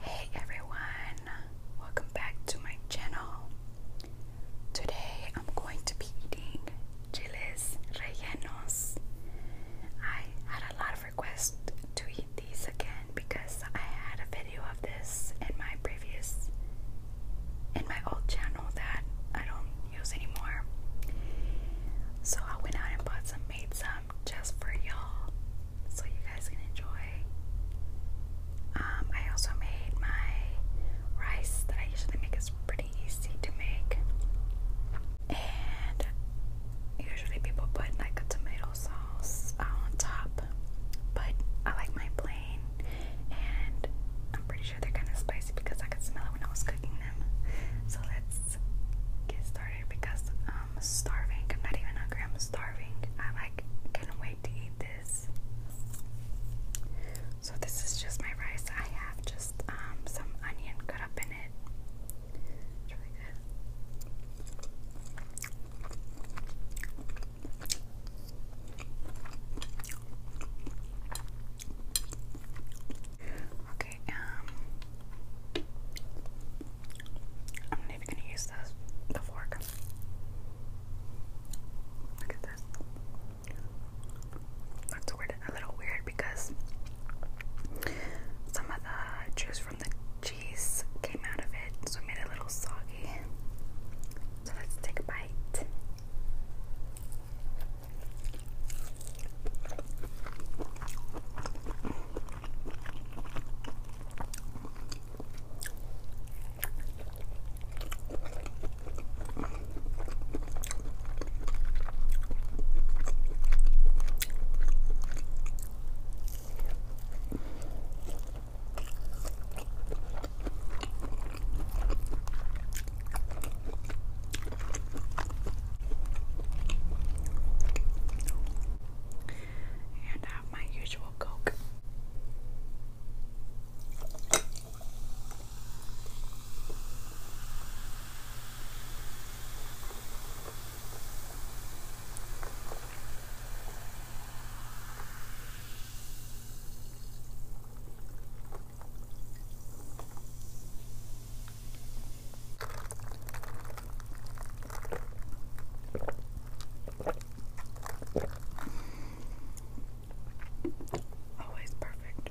Hey everyone, welcome back to my channel. Today I'm going to be eating chiles rellenos. I had a lot of have to eat these again because I had a video of this in my previous in my old channel that I don't use anymore. So I went out and bought some made some just for y'all so you guys can enjoy. Um, I also made my rice that I usually make is pretty easy to make. And usually people put like a tomato sauce on top, but I like my plain, and I'm pretty sure they're kind of spicy because I could smell it when I was cooking them. So let's get started because I'm starving. I'm not even hungry. I'm starving. I like can't wait to eat this. So this is just my rice. I have just um, some onion cut up in it. It's really Okay, um I'm not gonna use this the fork. Look at this. That's a little weird because some of the juice from the cheese came out of it, so it made it a little soggy. So let's take a bite. And I uh, have my usual Coke. Always perfect.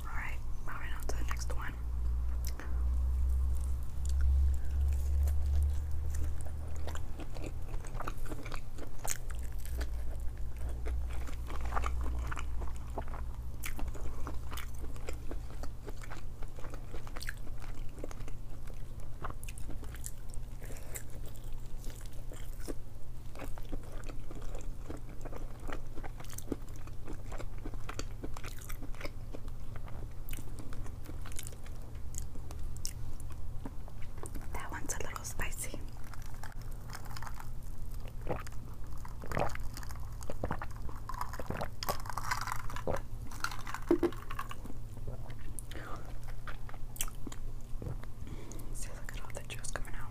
Alright, moving on to the next one. That one's a little spicy. See, look at all the juice coming out.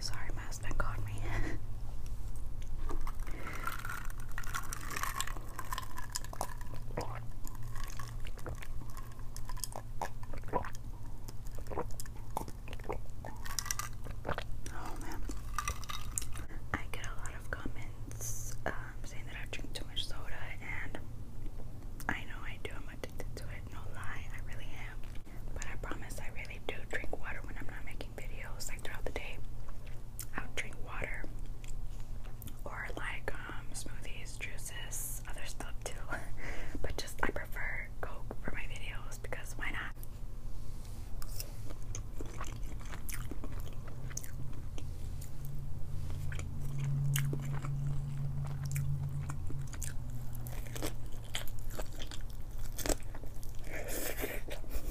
Sorry, my Oh man, I get a lot of comments um, saying that I drink too much soda, and I know I do. I'm addicted to it, no lie, I really am. But I promise, I really do drink water when I'm not making videos like throughout the day. I drink water or like um, smoothies, juices, other stuff too. but just I prefer Coke for my videos because why not?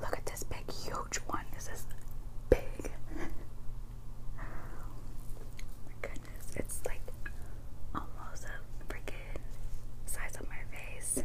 Look at this big, huge one. This is big. my goodness, it's like almost a freaking size of my face.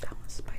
That one's spicy.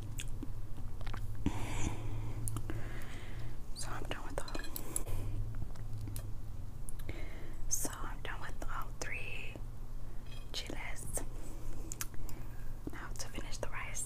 So I'm done with all. So I'm done with all three chiles. Now to finish the rice.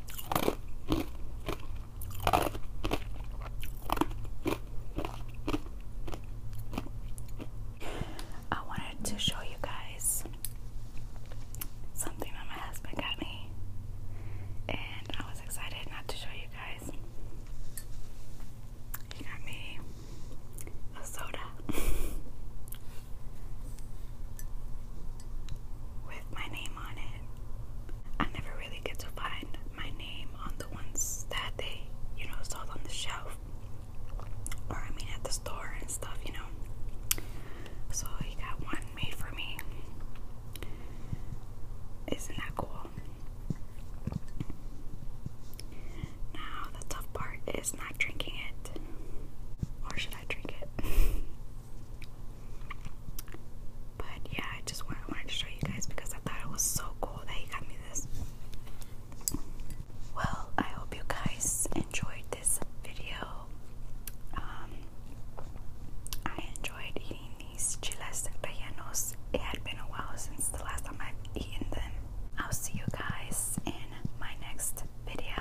I wanted to show you guys something that my husband got me, and I was excited not to show you guys. He got me a soda my name on it. I never really get to find my name on the ones that they, you know, sold on the shelf. Or I mean at the store and stuff, you know. So he got one made for me. Isn't that cool? Now the tough part is not drinking it. Or should I drink it? But yeah, I just wanted, to show you guys because I thought it was so cool that he got me this. Well, I hope you guys enjoyed this video. Um, I enjoyed eating these chiles rellenos. It had been a while since the last time I've eaten them. I'll see you guys in my next video.